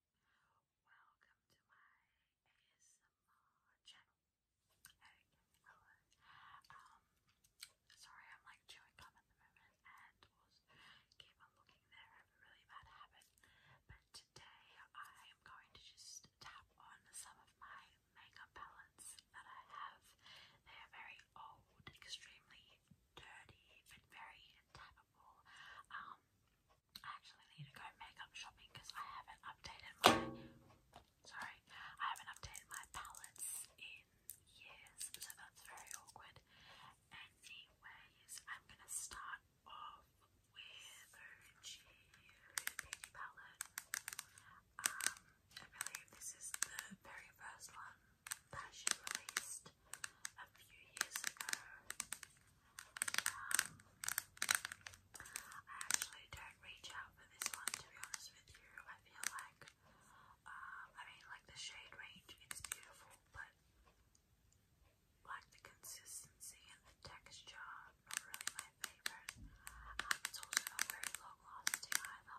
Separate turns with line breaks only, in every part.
Welcome to my ASMR channel. Um, sorry, I'm like chewing gum at the moment and keep on looking there. I have a really bad habit. But today I am going to just tap on some of my makeup palettes that I have. They are very old, extremely dirty, but very tap um, I actually need to go makeup shopping because I haven't updated my sorry, I haven't updated my palettes in years, so that's very awkward. Anyways, I'm gonna start off with the Beauty palette. Um, I believe this is the very first one that she released a few years ago. Um, I actually don't reach out for this one to be honest with you. I feel like, um, I mean, like the shade range, it's beautiful, but like the consistency and the texture, not really my favorite. Um, it's also very long lasting either.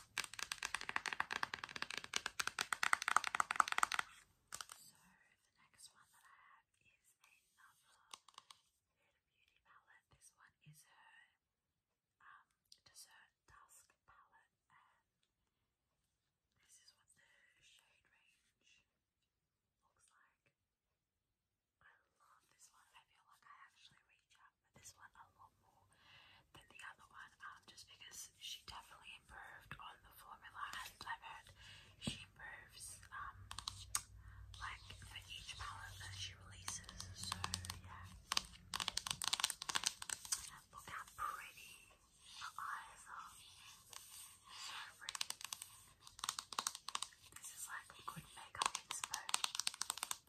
So the next one that I have is another Beauty palette. This one is her um, Dessert Dusk palette this is what the shade range looks like. I love this one. I feel like I actually reach out this one a lot more than the other one, um, just because she definitely improved on the formula, and I've heard she improves, um, like for each palette that she releases. So yeah, look how pretty her eyes are. This is like a good makeup inspo.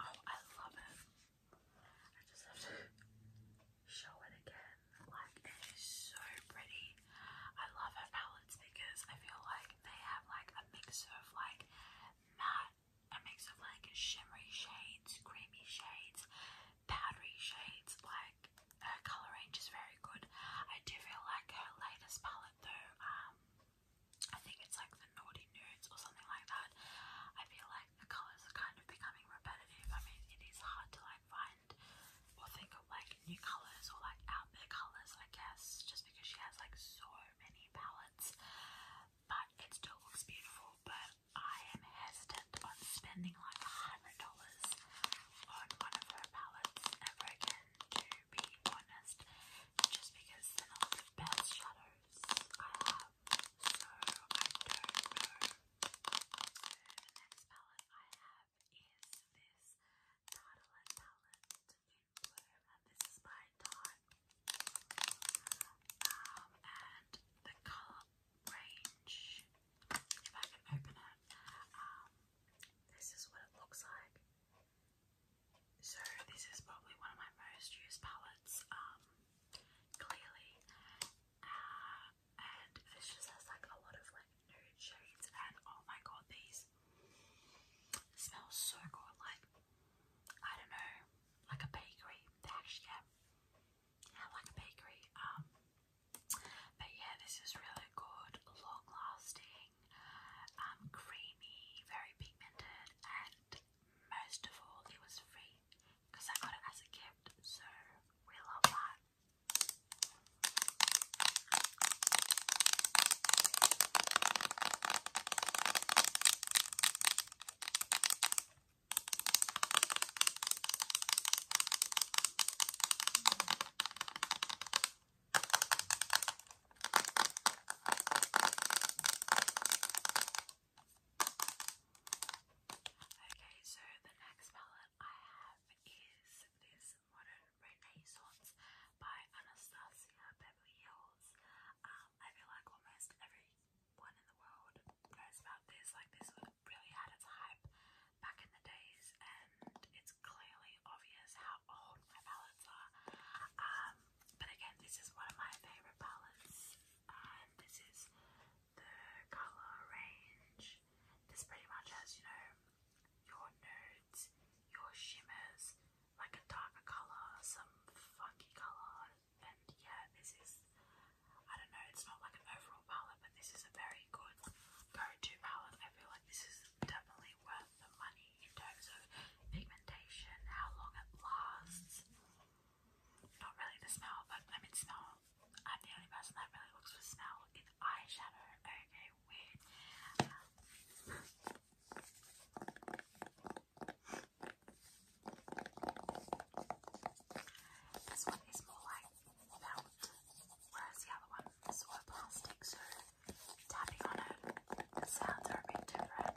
Oh, I love it. I just have to show it again. Like, it is so pretty. I love her palettes because I feel like they have like a mix of like matte, a mix of like shimmery shades, creamy shades, powdery shades, like her colour range is very good. I do feel like her latest palette though, um, I think it's like the Naughty Nudes or something like that. I feel like the colours are kind of becoming repetitive. I mean, it is hard to like find or think of like new colours or like out there colours, I guess, just because she has like so many palettes. But it still looks beautiful, but I am hesitant on spending like $100 on one of her palettes ever again, to be honest, just because they're not the best shadows I have, so I don't know. the next palette I have is this Tartalet palette and this is by Tarte. Um, and the colour range. If I can open it, um, this is what it looks like. So this is probably one of my most used palettes, um, clearly. Uh, and this just has like a lot of like nude shades and oh my god, these smell so good. Like, I don't know, like a bakery. actually, like a bakery. Um, but yeah, this is really good, long lasting, um, creamy, very pigmented, and most of all, it was free because I got it as a gift, so we love that. Okay, so the next palette I have is this Modern Renaissance by Anastasia Beverly Hills. Um, I feel like almost everyone in the world knows about this, like this would really had its hype back in the days, and it's clearly obvious how old my palettes are. Um, but again, this is one of my favorite palettes. Um, this is the color range. This pretty much has, you know, your nudes, your shimmers, like a darker color, some funky color, and yeah, this is I don't know, it's not like an overall palette, but this is a very good go-to palette. I feel like this is definitely worth the money in terms of pigmentation, how long it lasts. Not really the smell, but I mean smell. I'm the only person that really looks for smell in eyeshadow. Okay, weird. this one is more like now, the other one is all plastic, so tapping on it, the sounds are a bit different.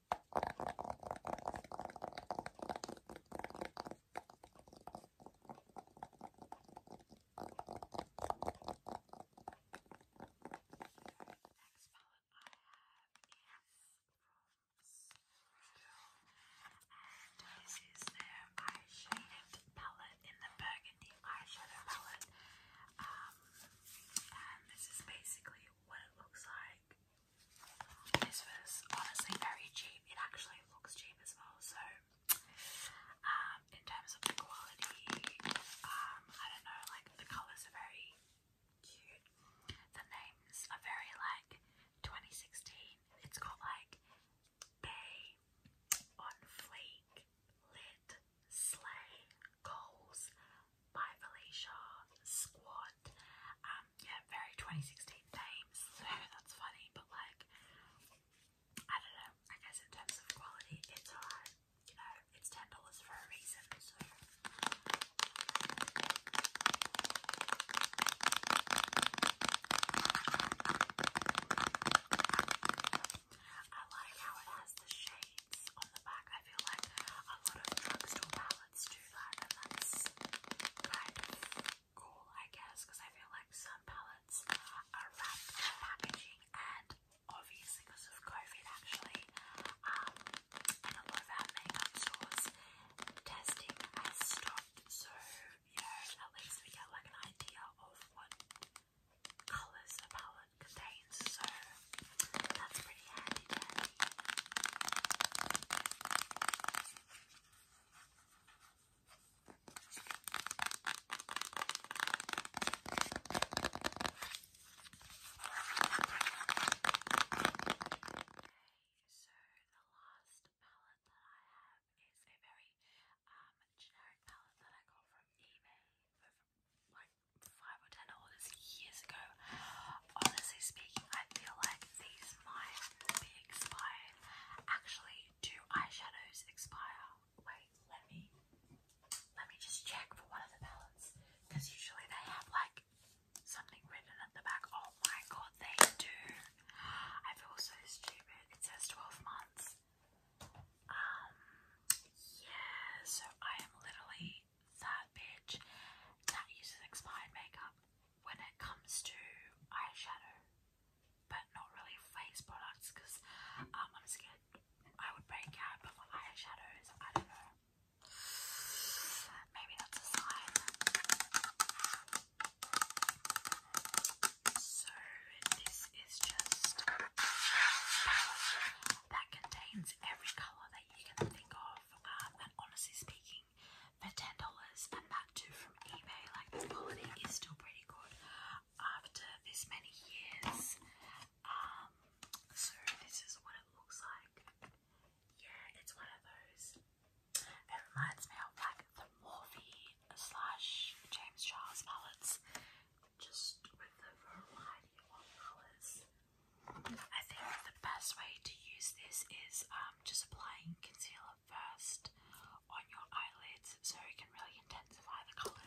Next palette I have is from Sproul, and this is their eye palette in the burgundy eyeshadow palette. Um, and this is basically what it looks like. This was honestly very cheap. It actually looks cheap as well. So, um, in terms of the quality, um, I don't know, like the colours are very cute. The names are very like 2016. It's got like Bay, On Fleek, Lit, Slay, Coles, by Felicia Squad. Um, yeah, very 2016 themes, so that's funny, but like, I don't know, I guess in terms of quality, it's alright. You know, it's $10 for a reason, so. I like how it has the shades on the back. I feel like a lot of drugstore palettes let's do that, that's cool, I guess, because I feel like some palettes are wrapped in packaging, and obviously because of COVID, actually, um, a lot of our makeup stores testing has stopped, so you at least we get like an idea of what colours a palette contains. So that's pretty so the last palette that I have is a very um generic palette that I got from eBay five or ten orders years ago. Honestly speaking, I feel like these might be expired. Actually, do eyeshadows expire? Wait, let me let me just check for one of the palettes. Because usually they have like something written at the back. Oh my god, they do. I feel so stupid. It says 12 months. Um yeah, so I am literally Savage that uses expired makeup when it comes to eyeshadow, but not really face products because um, I'm scared I would break out. But for eyeshadows, I don't know. Maybe that's a sign. So this is just that contains every color that you can think of off. Um, and honestly speaking, for ten dollars, and that too from eBay, like the quality is still pretty good after this many years. Um, so this is what it looks like. Yeah, it's one of those. It reminds me of like the Morphe slash James Charles palettes, just with the variety I think the best way to use this is um, just applying concealer first on your eyelids so it can really intensify the colours.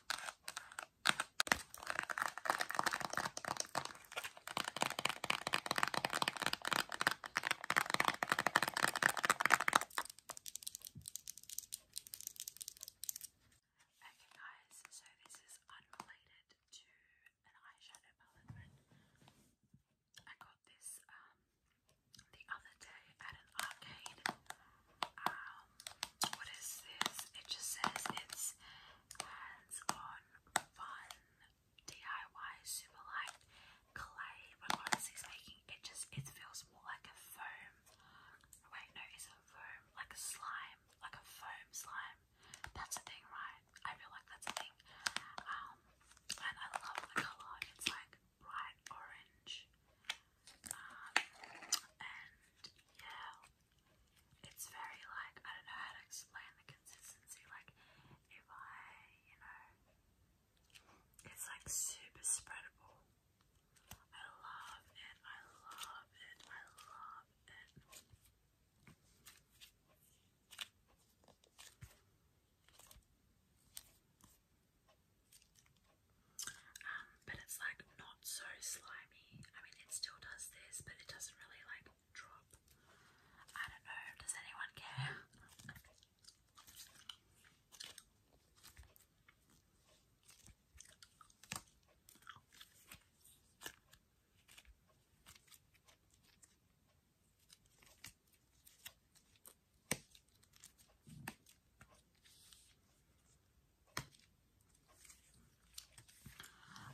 Okay guys, so this is unrelated to an eyeshadow palette, I got this um, the other day at an arcade. Uh, um, what is this? It just says it's hands-on fun DIY super light clay. But honestly speaking, it just it feels more like a foam. Wait, no, it's a foam, like a slime, like a foam slime. That's a thing, right? I feel like that's a thing. Um, and I love the color. It's like bright orange. Um, and yeah, it's very like, I don't know how to explain the consistency. Like, if I, you know, it's like super spreadable. I love it, I love it, I love it. Um, but it's like not so slimy. I mean, it still does this, but it doesn't really like drop. I don't know. Does anyone care?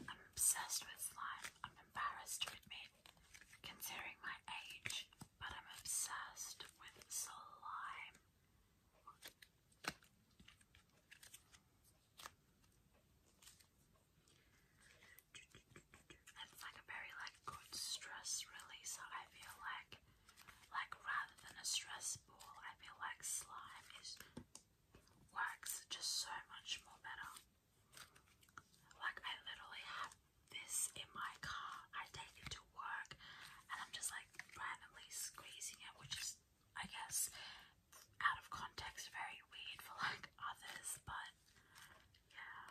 I'm obsessed with slime. I'm embarrassed to admit, considering my age, but I'm obsessed with slime. It's like a very like good stress releaser. I feel like like rather than a stress ball, I feel like slime is works just so much more better. Like I literally have this in my car. I take it to work and I'm just like randomly squeezing it, which is I guess out of context very weird for like others, but yeah.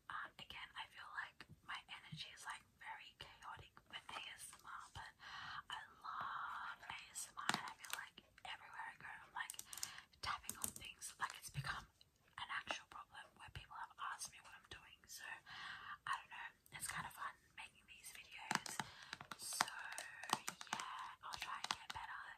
Um, again, I feel like my energy is like very chaotic with ASMR, but I love ASMR, I feel like everywhere I go, I'm like tapping on things. Like it's become an actual problem where people have asked me what I'm doing. So I don't know. It's kind of fun making these videos. So yeah, I'll try and get better